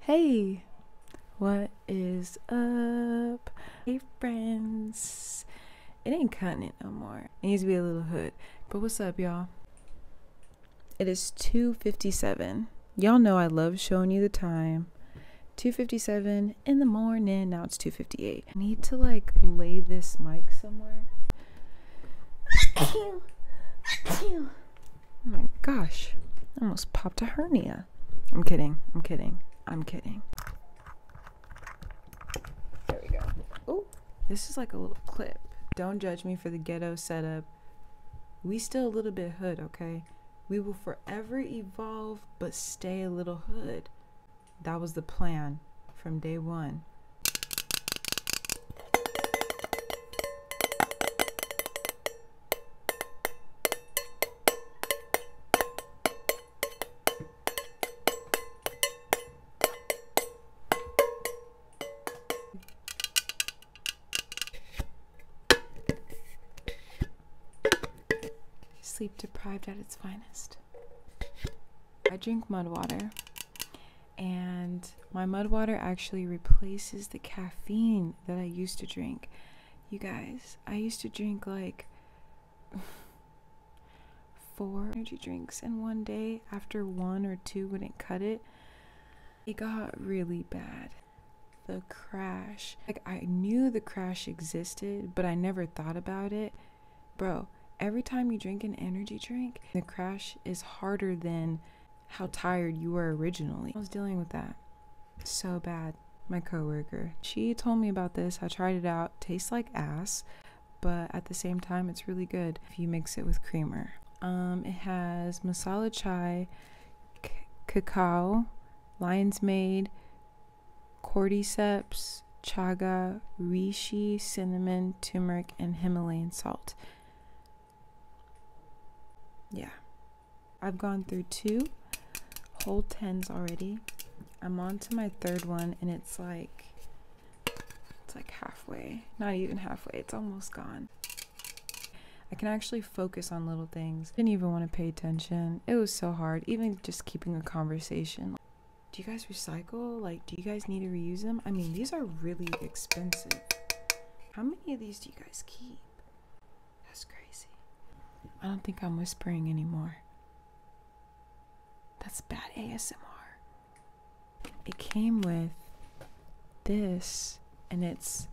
Hey, what is up? Hey, friends. It ain't cutting it no more. It needs to be a little hood. But what's up, y'all? It is 2:57. Y'all know I love showing you the time. 2:57 in the morning. Now it's 2:58. I need to like lay this mic somewhere. Oh my gosh. I almost popped a hernia. I'm kidding. I'm kidding. I'm kidding. There we go. Oh, this is like a little clip. Don't judge me for the ghetto setup. We still a little bit hood, okay? We will forever evolve, but stay a little hood. That was the plan from day one. Sleep deprived at its finest. I drink mud water and my mud water actually replaces the caffeine that I used to drink. You guys, I used to drink like four energy drinks in one day after one or two wouldn't cut it. It got really bad. The crash. Like, I knew the crash existed, but I never thought about it. Bro, every time you drink an energy drink, the crash is harder than how tired you were originally. I was dealing with that so bad. My coworker, she told me about this. I tried it out. Tastes like ass, but at the same time, it's really good if you mix it with creamer. Um, it has masala chai, cacao, lion's mane, cordyceps, chaga, reishi, cinnamon, turmeric, and Himalayan salt. Yeah. I've gone through two whole tens already. I'm on to my third one and it's like it's like halfway. Not even halfway. It's almost gone. I can actually focus on little things. Didn't even want to pay attention. It was so hard, even just keeping a conversation. Do you guys recycle? Like, do you guys need to reuse them? I mean, these are really expensive. How many of these do you guys keep? That's crazy. I don't think I'm whispering anymore. That's bad ASMR. It came with this and it's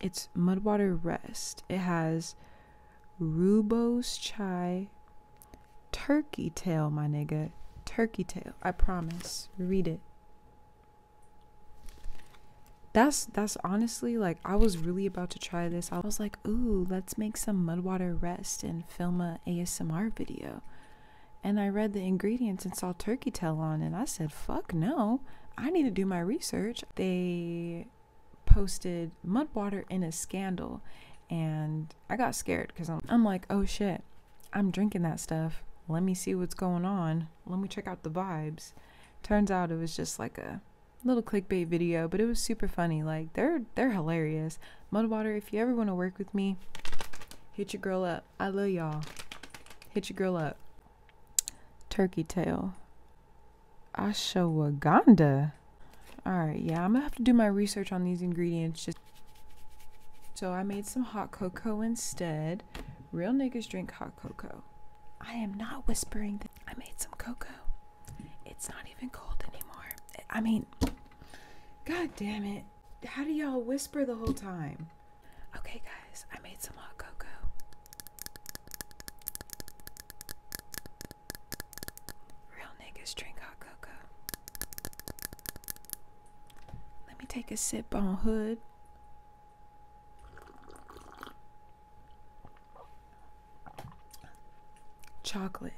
it's mudwater rest. It has rubos chai turkey tail, my nigga. Turkey tail. I promise. Read it. That's that's honestly like I was really about to try this. I was like, "Ooh, let's make some mudwater rest and film a ASMR video." And I read the ingredients and saw turkey tail on and I said, "Fuck no. I need to do my research." They posted mudwater in a scandal and I got scared because I'm, I'm like, oh shit, I'm drinking that stuff. Let me see what's going on. Let me check out the vibes. Turns out it was just like a little clickbait video, but it was super funny. Like they're they're hilarious. Mudwater, if you ever want to work with me, hit your girl up. I love y'all. Hit your girl up. Turkey tail. Ashwagandha. All right, yeah, I'm gonna have to do my research on these ingredients just so I made some hot cocoa instead. Real niggas drink hot cocoa. I am not whispering that I made some cocoa. It's not even cold anymore. I mean, god damn it. How do y'all whisper the whole time? Okay, guys, I made some hot cocoa. Real niggas drink hot cocoa. Let me take a sip on Hood. Chocolate.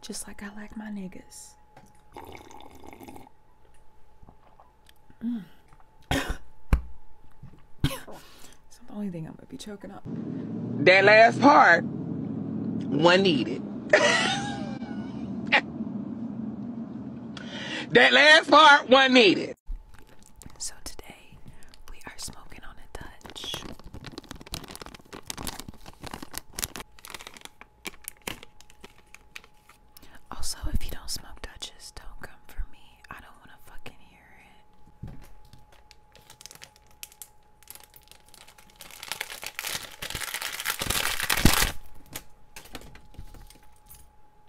Just like I like my niggas. Mm. it's the only thing I'm gonna be choking on. That last part, one needed. that last part wasn't needed. So today we are smoking on a Dutch. Also, if you don't smoke Dutches, don't come for me. I don't want to fucking hear it.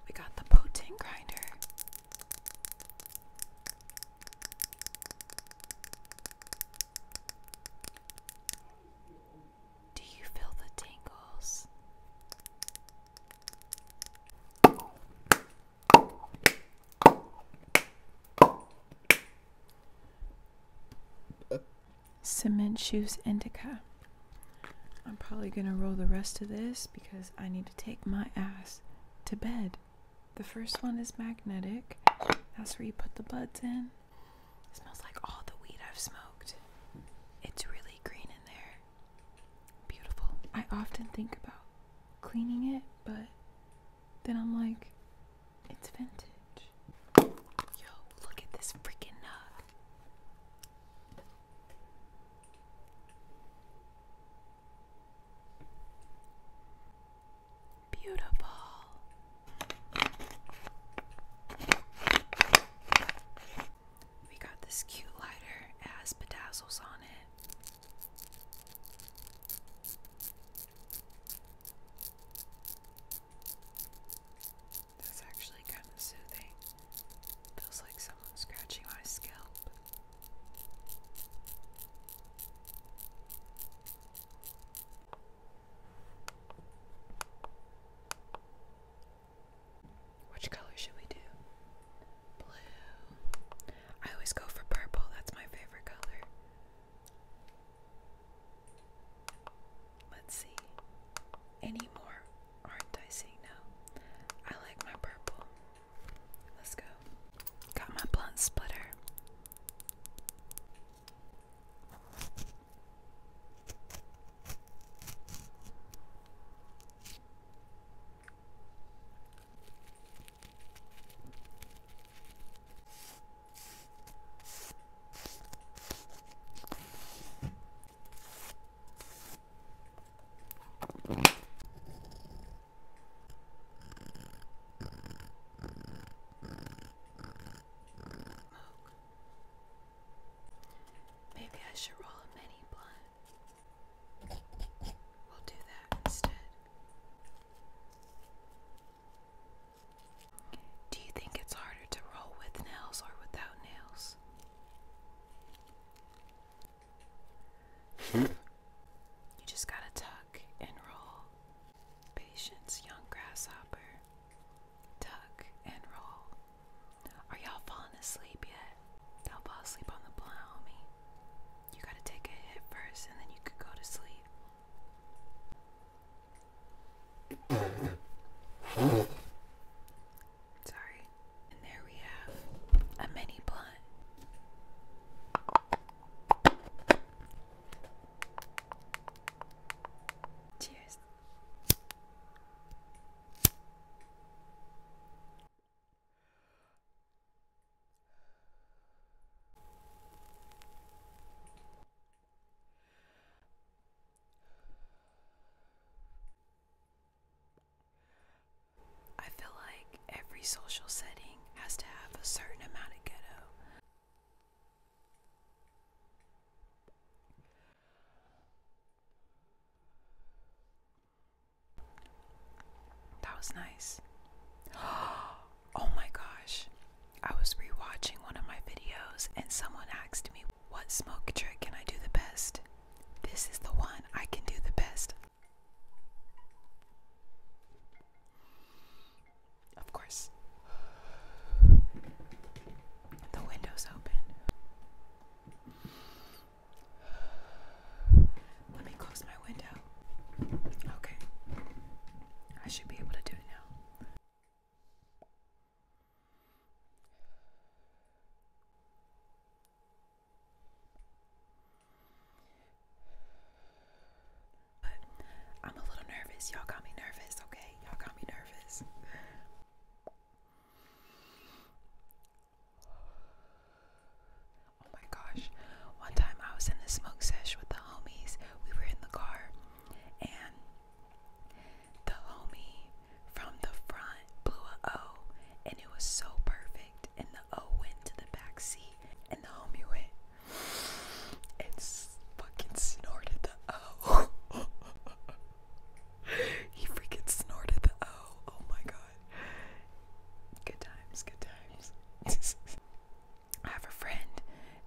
We got the potting grinder. Do you feel the tingles? Cement Shoes Indica. I'm probably going to roll the rest of this because I need to take my ass to bed. The first one is magnetic. That's where you put the buds in. It smells like all the weed I've smoked. It's really green in there. Beautiful. I often think about cleaning it, but then I'm like, it's vintage. Yo, look at this freaking nug. Beautiful. We got this cute lighter, it has bedazzles on it. That's actually kind of soothing. Feels like someone scratching my scalp. Which color should we do? Blue. I always go for purple, that's my favorite color. Let's see. Any more aren't I seeing now? I like my purple. Let's go. Got my blunt splitter. Maybe I should roll a mini blunt. We'll do that instead. Do you think it's harder to roll with nails or without nails? Hmm? you just gotta tuck and roll. Patience, young grasshopper. Tuck and roll. Are y'all falling asleep yet? Don't fall asleep on the plow, homie. You gotta take a hit first and then you could go to sleep. Sorry. And there we have a mini blunt. Cheers. I feel like every social setting has to have a certain amount of ghetto. That was nice. Oh my gosh. I was rewatching one of my videos and someone asked me, What smoke trick can I do the best? This is the one I can do the best. Of course. The window's open. Let me close my window. Okay. I should be able to do it now. But I'm a little nervous. Y'all got me nervous, okay? Y'all got me nervous. Oh my gosh. One time I was in the smoke sesh with the homies. We were in the car and the homie from the front blew a O and it was so perfect and the O went to the back seat and the homie went and fucking snorted the O. he freaking snorted the O. Oh my gosh. Good times, good times. I have a friend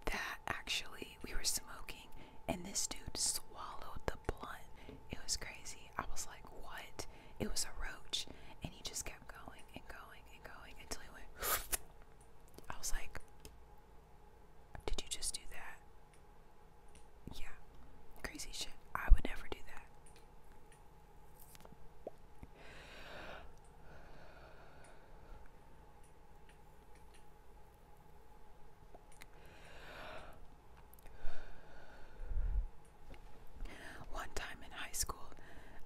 that actually we were smoking and this dude swallowed the blunt. It was crazy. I was like, what? It was a roach. And he just kept going and going and going until he went. I was like, did you just do that? Yeah. Crazy shit. I would never do that. One time in high school,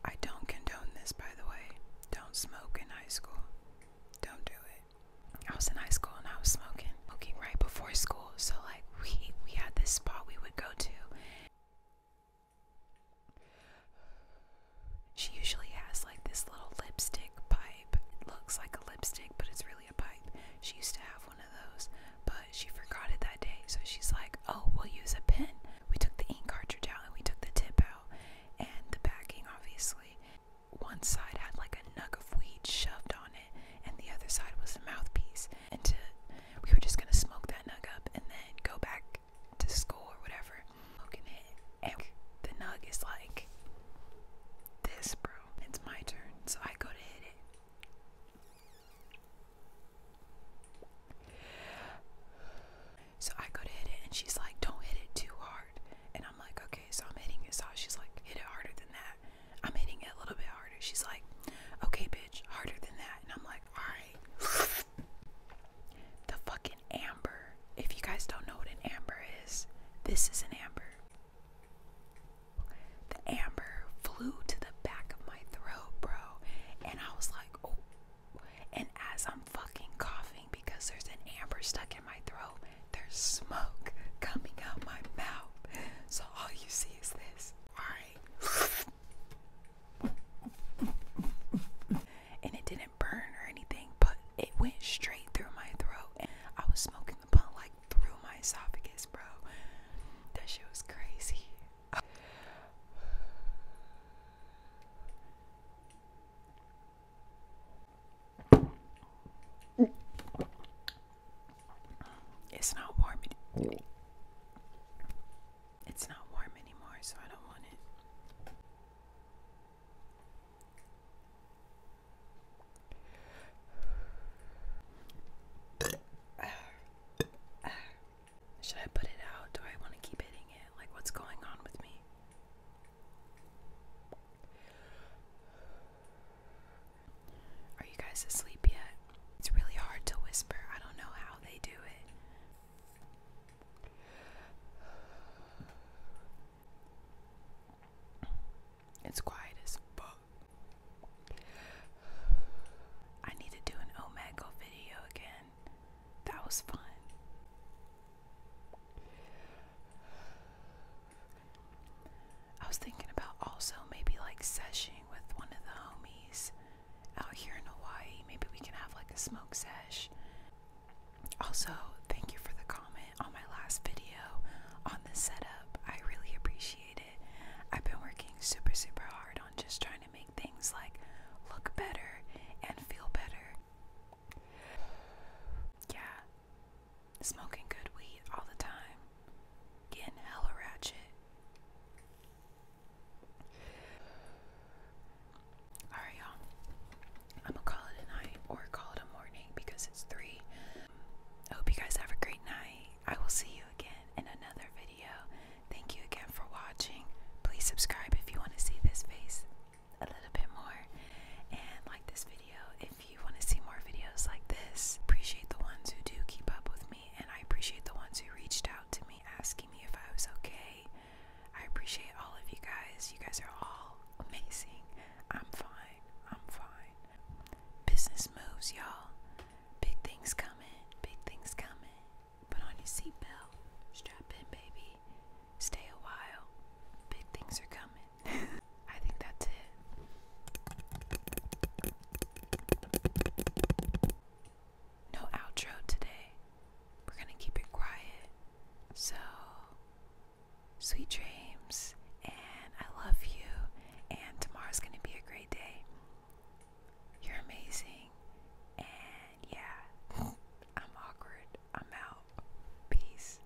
I don't condone this by the way. Don't smoke in high school. Don't do it. I was in high school and I was smoking. Smoking right before school. So like we we had this spot we would go to. She usually has like this little lipstick pipe. It looks like a lipstick, but it's really a pipe. She used to have one of those, but she forgot it that day. So she's like, "Oh, we'll use a pen." We took the ink cartridge out and we took the tip out and the backing obviously. One side had like a nug of weed shoved on it and the other side was a mouthpiece. And to we were just gonna smoke that nug up and then go back to school or whatever. Smoking it, and the nug is like this, bro. It's my turn, so I go to hit it. So I go to hit it, and she's like, Don't hit it too hard. And I'm like, Okay, so I'm hitting it. So she's like, Hit it harder than that. I'm hitting it a little bit harder. She's like, okay, bitch, harder than that. And I'm like, alright. the fucking amber. If you guys don't know what an amber is, this is an amber. The amber flew to the back of my throat, bro. And I was like, oh. And as I'm fucking coughing because there's an amber stuck in my throat, there's smoke coming out my mouth. So all you see and it didn't burn or anything, but it went straight through my throat. I was smoking the blunt like through my esophagus, bro. That shit was crazy. It's not warm. It's not warm anymore, so I don't want it. Should I put it out? Do I want to keep hitting it? Like, what's going on with me? Are you guys asleep yet? It's really hard to whisper. I don't know how they do it. It's quiet as fuck. I need to do an Omega video again. That was fun. I was thinking about also maybe like seshing with one of the homies out here in Hawaii. Maybe we can have like a smoke sesh. Also, thank you for the comment on my last video on the setup. I really appreciate it. I've been working super, super hard on just trying to make things like look better and feel better. Yeah, Smoking good weed all the time. Getting hella ratchet. Alright, y'all. I'm gonna call it a night or call it a morning because it's three. I hope you guys have a great night. I will see you again in another video. Thank you again for watching. Please subscribe if you want to see this face a little bit more and like this video if if you want to see more videos like this, appreciate the ones who do keep up with me, and I appreciate the ones who reached out to me asking me if I was okay. I appreciate all of you guys. You guys are all amazing. I'm fine. I'm fine. Business moves, y'all. Big things coming. Big things coming. Put on your seatbelt. Strap in, baby. Stay a while. Big things are coming. I think that's it. No outro today. We're gonna keep it quiet. So, sweet dreams, and I love you, and tomorrow's gonna be a great day. You're amazing, and yeah, I'm awkward. I'm out. Peace.